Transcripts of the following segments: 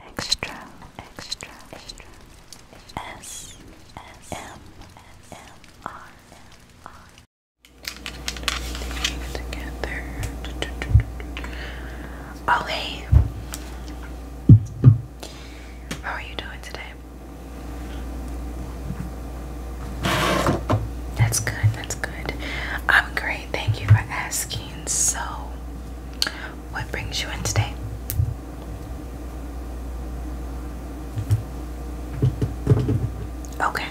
Extra, extra, extra. S, S, M, M, R, M, R. Together. Oh, hey. How are you doing today? That's good, that's good. I'm great, thank you for asking. So, what brings you in today? Okay.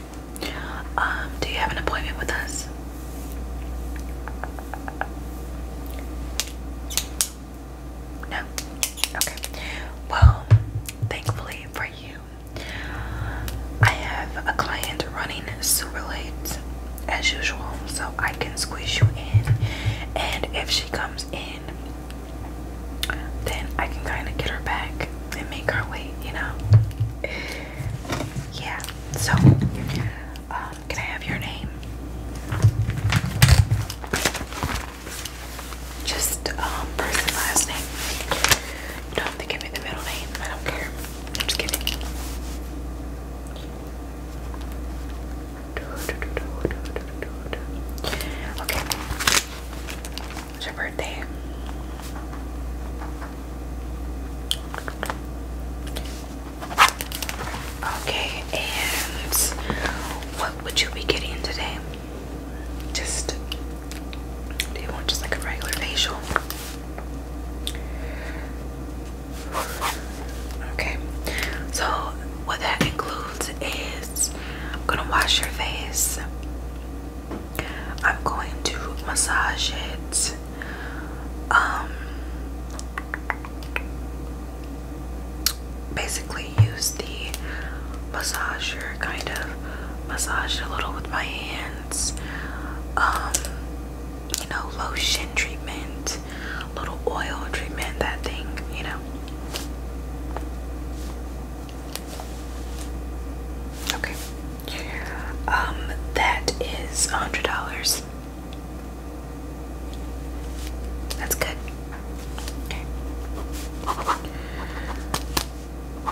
Um, do you have an appointment with us? No? Okay. Well, thankfully for you, I have a client running super late as usual, so I can squeeze you in. And if she comes in, then I can kind of get her back and make her wait, you know? Yeah, so um, can I have your name? Just person um, last name. don't have give me the middle name. I don't care. I'm just kidding. Okay. It's your birthday. Okay, and what would you be getting today? Just do you want just like a regular facial? Okay, so what that includes is I'm gonna wash your face, I'm going to massage it. Um, basically, use the massager kind of massage it a little with my hands. Um, you know, lotion treatment, little oil treatment, that thing, you know. Okay. Um, that is a hundred dollars. That's good.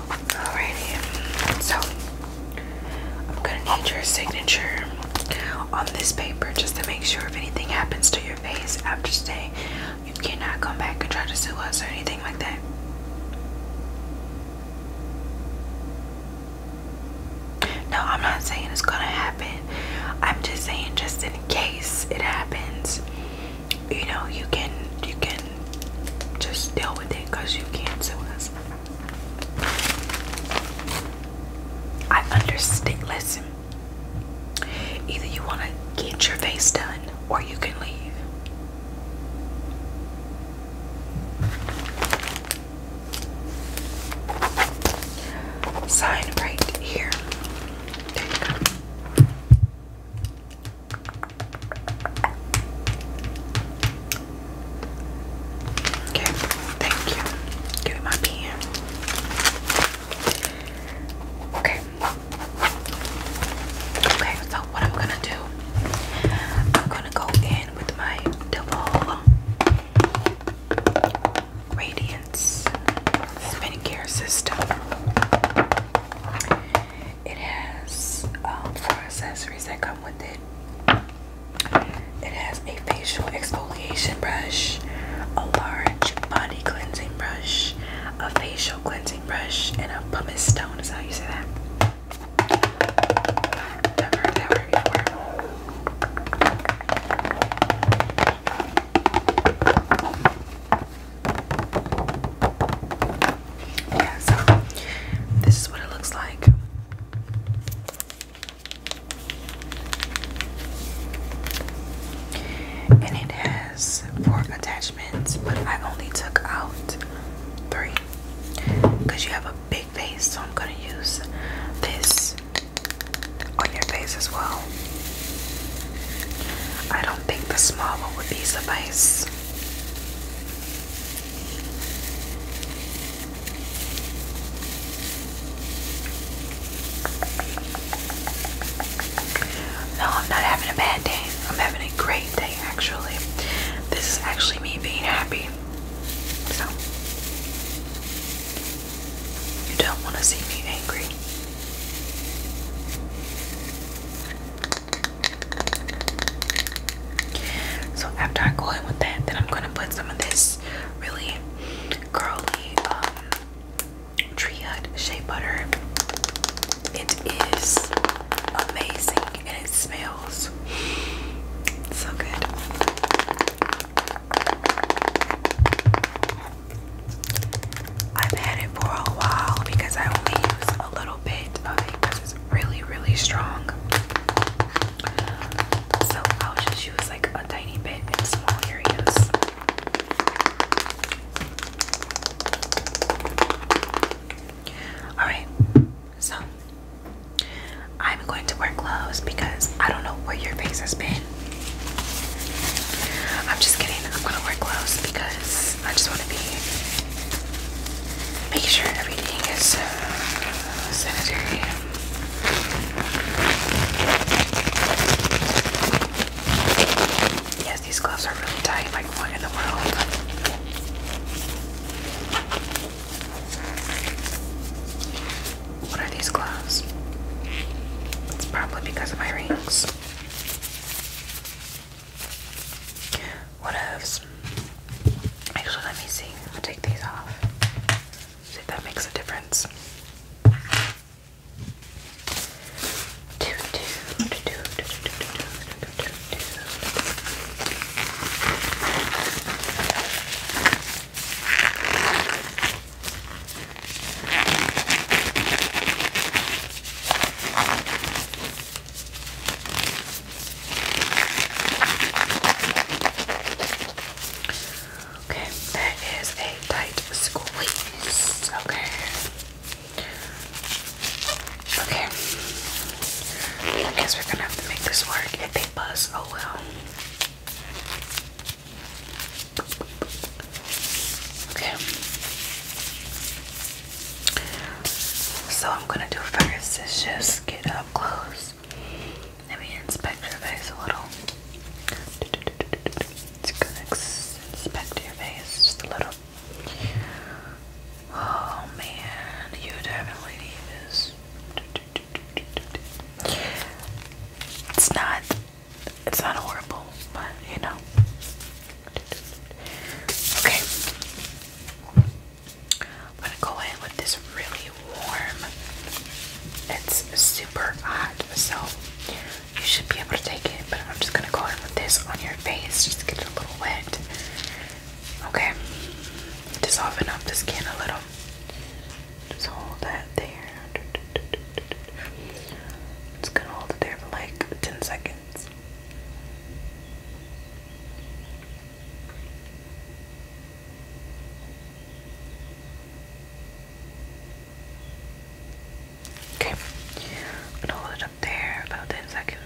Alrighty. So I'm gonna need your signature on this paper just to make sure if anything happens to your face after today, you cannot come back and try to sue us or anything like that. No, I'm not saying it's gonna happen. I'm just saying just in case it happens, you know, you can you can just deal with it because you can't sue us. I understand. Listen, either you want to get your face done or you can leave. Sign right here. There you go. Okay, thank you. Give me my pen. Okay. Okay, so what I'm gonna do, I'm gonna go in with my double radiance skincare system. It has um, four accessories that come with it. It has a facial exfoliation brush, a large body cleansing brush, a facial cleansing brush, and a pumice stone. Is how you say that? Yeah, so this is what it looks like. And it has four attachments, but I only took out three because you have a big face, so I'm going to use this on your face as well. I don't think the smaller would be suffice. No, I'm not having a bad day. I'm having a great day, actually. This is actually me being happy. So, you don't want to see me angry. So after I go in with that, then I'm gonna put some of this really curly um, shea butter. It is amazing and it smells so good. I've had it for a while because I only use a little bit of it because it's really, really strong. So I'll just use like a tiny bit in small areas. Alright, so I'm going to wear gloves because I don't know where your face has been. I'm just kidding, I'm gonna wear gloves because I just want to be make sure everything is uh, sanitary. Yes, these gloves are really tight. Like, what in the world? What are these gloves? It's probably because of my rings. What ifs? Actually, let me see. i take these off. See if that makes a difference. Okay, that is a tight squeeze. Okay. Okay. I guess we're gonna have to make this work. If they buzz, oh well. Okay. So I'm gonna do first is just get up close. Let me inspect your face a little. It's gonna inspect your face just a little. Oh man, you definitely need this. It's not, it's not horrible, but you know. Okay. I'm gonna go in with this really warm. It's super hot, so you should be able to take it. But I'm just gonna go in with this on your face, just get it a little wet. Okay, to soften up the skin a little. Just hold that there. It's gonna hold it there for like 10 seconds. Okay, hold it up there about 10 seconds.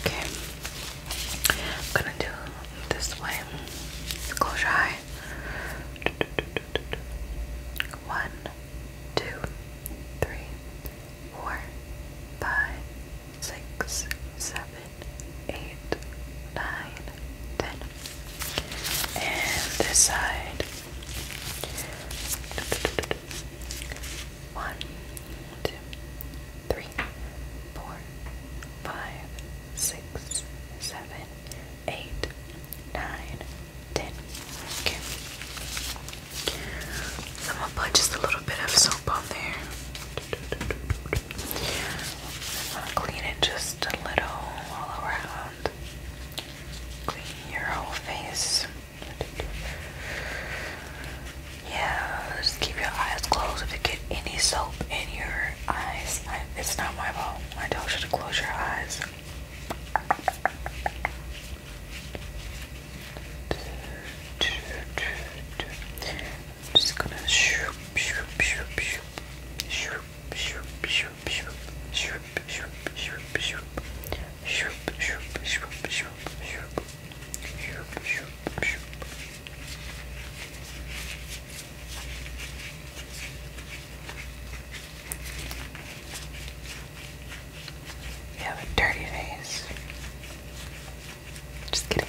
Okay, I'm gonna do this way. Close your one, two, three, four, five, six, seven, eight, nine, ten. And this side. One, two, three, four, five, six, seven, seven, eight, nine, ten. Okay. I'm gonna put just a little bit of soap on there. I'm gonna clean it just a little all around. Clean your whole face. Yeah, just keep your eyes closed if you get any soap in your eyes. it's not my fault. I told you to close your eyes. I'm just gonna shoop, shoop, shoop, shoop, shoop, shoop, shoop, shoop, shoop, shoop, shoop, shoop, shoop, shoop, shoop, shoop, shoop, shoop, shoop, shoop. You have a dirty face. Just kidding.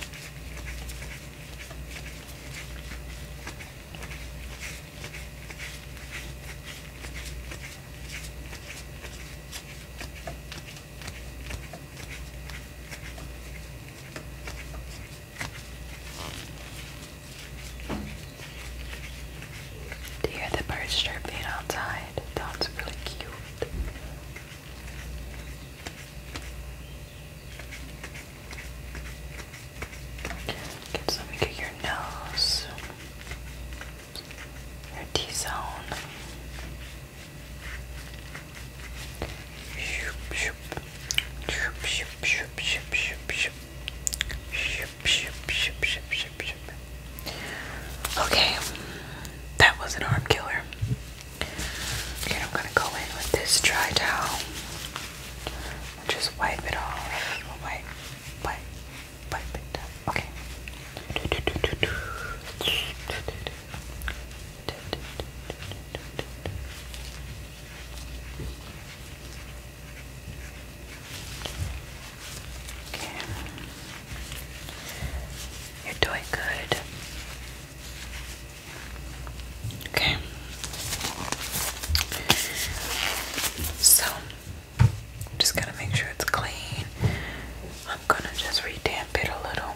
Do you hear the birds chirping outside? That's really cute. Get something at your nose, your T zone. Okay, that was an arm killer. Okay, I'm gonna go in with this dry towel. just wipe it off. Wipe, wipe, wipe it Okay. You're doing good. Okay. So, just gonna make sure it's clean. I'm gonna just redamp it a little.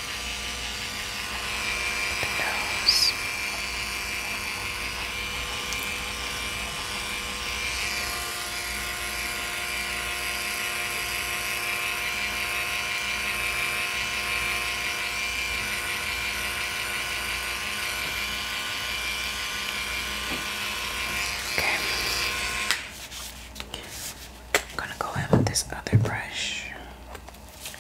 the Okay. I'm going to go in with this other brush.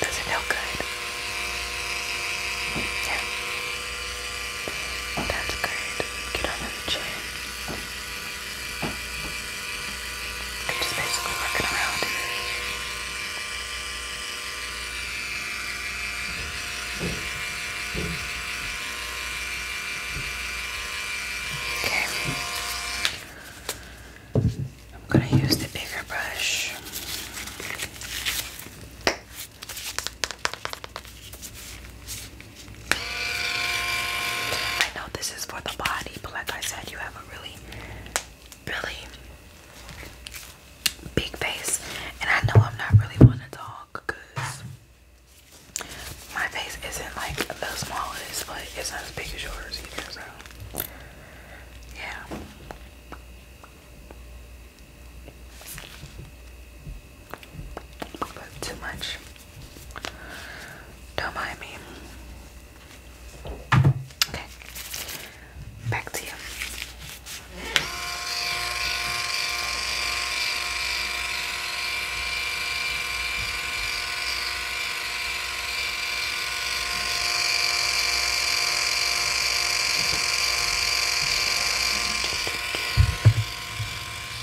Does it feel good? Yeah. That's great. Get under the chin. I'm just basically working around Okay. I'm going to use the bigger brush. I know this is for the body, but like I said, you have a really, really big face, and I know I'm not really one to talk because my face isn't like the smallest, but it's not as big as yours either. So, yeah too much. Don't mind me. Okay, back to you.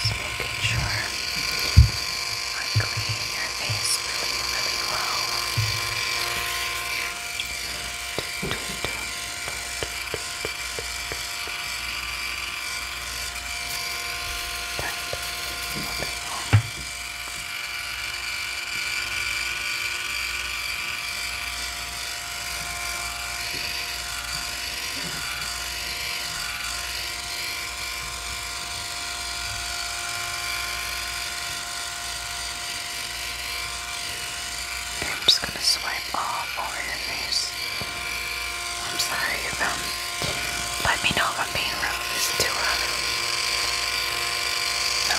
Just making sure I clean your face really, really well. Do, do, do. I'm just going to sway eyeball oh, or I'm sorry if I'm. Um, let me know if I'm being rude. Is too rough? No.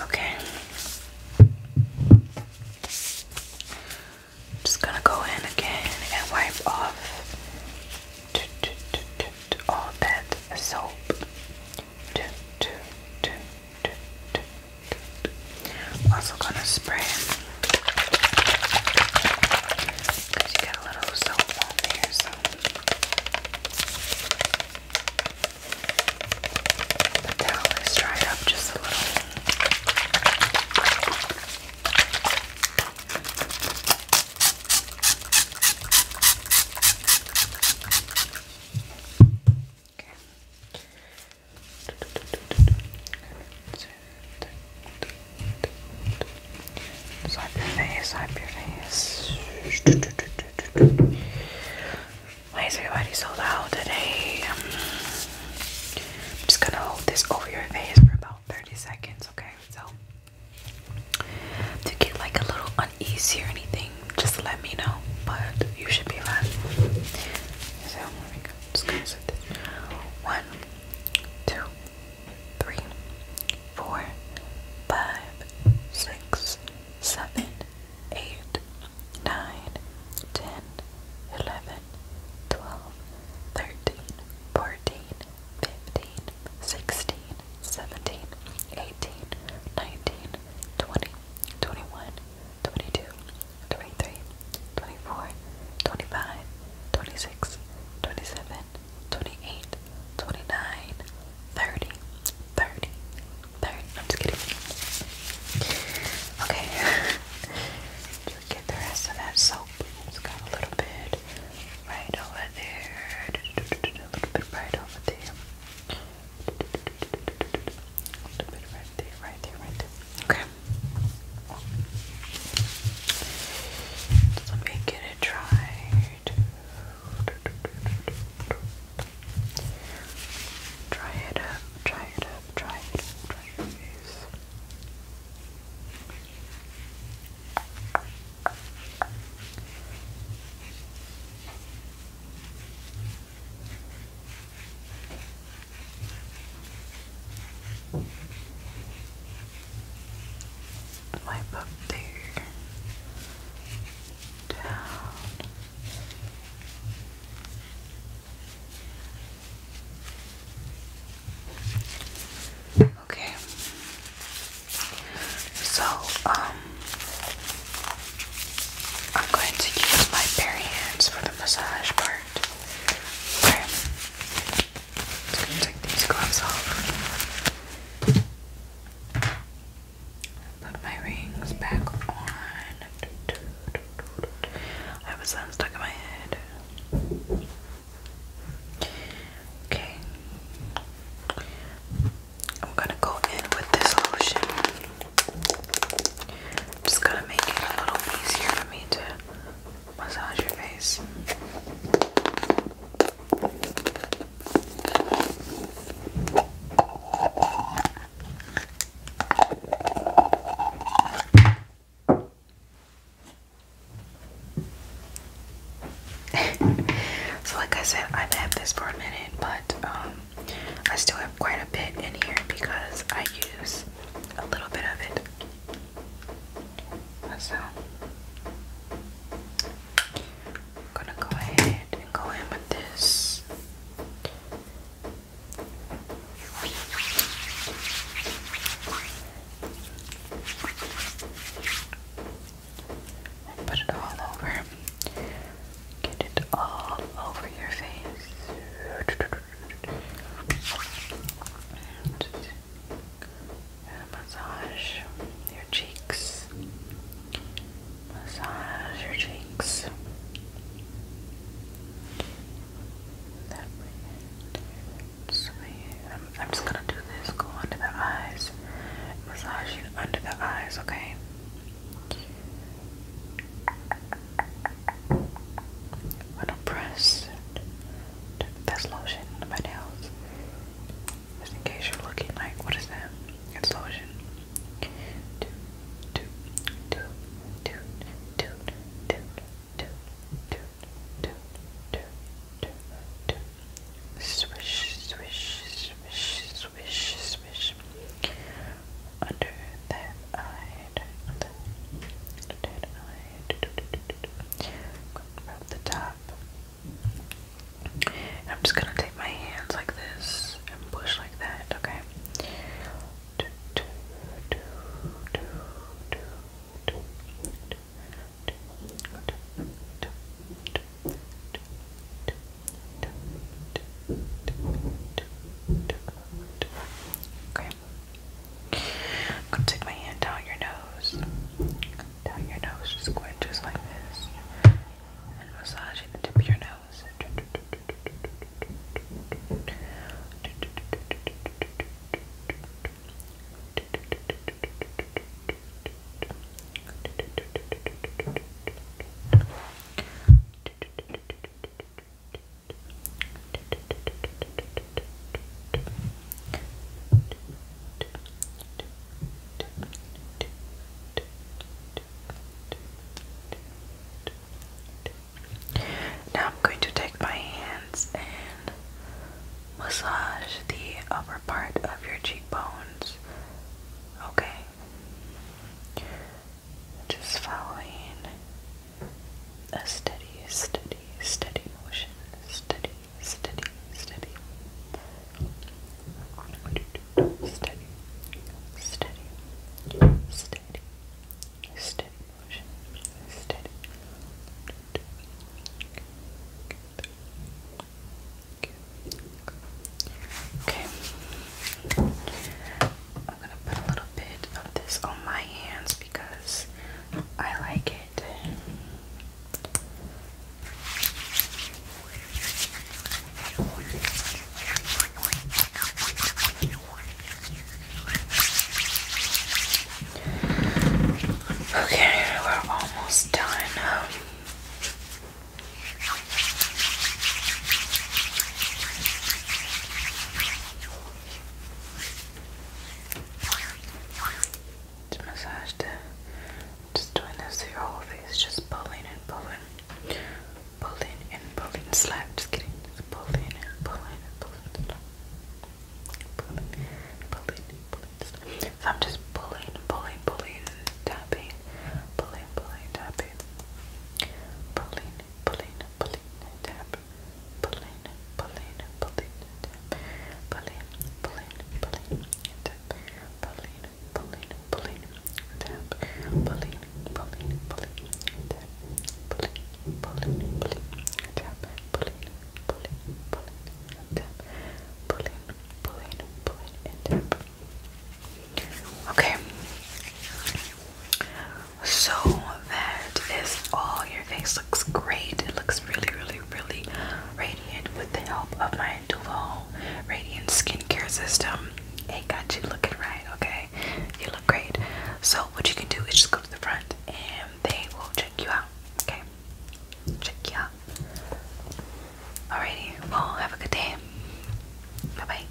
Okay. just gonna go in again and wipe off all that soap. Also gonna spray because you got a little soap on there, the towel is dried up just a little. Okay. Slap your face, slap your face. Why is everybody so loud today? Um, I'm just gonna hold this over your face for about 30 seconds, okay? So, to get like a little uneasy or anything, just let me know. But you should be fine. So, Just gonna set this. One, two, three, four, five, six seven, eight, nine, ten, eleven, twelve, thirteen, fourteen, fifteen, sixteen, seventeen, eighteen, nineteen, twenty, twenty-one, twenty-two, twenty-three, twenty-four, twenty-five, twenty-six, twenty-seven, twenty-eight. 29, I'm just kidding. Okay. just get the rest of that soap. it got a little bit right over there. A little bit right over there. A little bit right there, right there, right there. Okay. let me get it dried. Try it up, try it up, try it up, try Wipe up there. Okay. So, um, I'm going to use my bare hands for the massage part. Okay. I'm just take these gloves off. Put my rings back on. I have a sun stuck in my head. Okay. I'm gonna go in with this lotion. just gonna make it a little easier for me to massage your face. so like I said, I've had this for a minute, but um, I still have quite a bit in here because I use a little bit of it myself. I'm gonna go ahead and go in with this. put it all over. Get it all over your face. And massage your cheeks. Massage your cheeks. So I'm, I'm just gonna do this. Go under the eyes. Massage you under the eyes, okay? I'm gonna press. That's lotion on my nails. Just in case you're looking like, what is that? It's lotion. Toot, toot, toot, toot, toot, toot, toot, toot, toot, toot, toot, toot. Swish, swish, swish, swish, swish. Under that eye, under that eye. Rub the top I'm just gonna take my hands like this and push like that, okay? Okay. I'm gonna take my hand down your nose. Down your nose, just going just like this and massaging the tip of your nose. Now I'm going to take my hands and massage the upper part of your cheekbones. Okay. Just following a steady, steady, steady motion. Steady, steady, steady, steady, steady, steady, steady, steady motion, steady. Okay, I'm gonna put a little bit of this on my hands because I like it. Okay, we're almost done. now. massage the just doing this through your whole face, just pulling and pulling, pulling and pulling, slap, just kidding, just pulling and pulling and pulling, slap. pulling, pulling, pulling, slap. So I'm just pulling, pulling, pulling, tapping, pulling, pulling, tapping, pulling, pulling, pulling, tap, pulling, pulling, pulling, tap, pulling, pulling, pulling, tap, pulling, Okay. So that is all. Your face looks great. It looks really, really, really radiant with the help of my Duval now Radiant Skincare System. It got you looking right, okay? You look great. So what you can do is just go to the front and they will check you out. Okay? Check you out. Alrighty, well have a good day. Bye bye.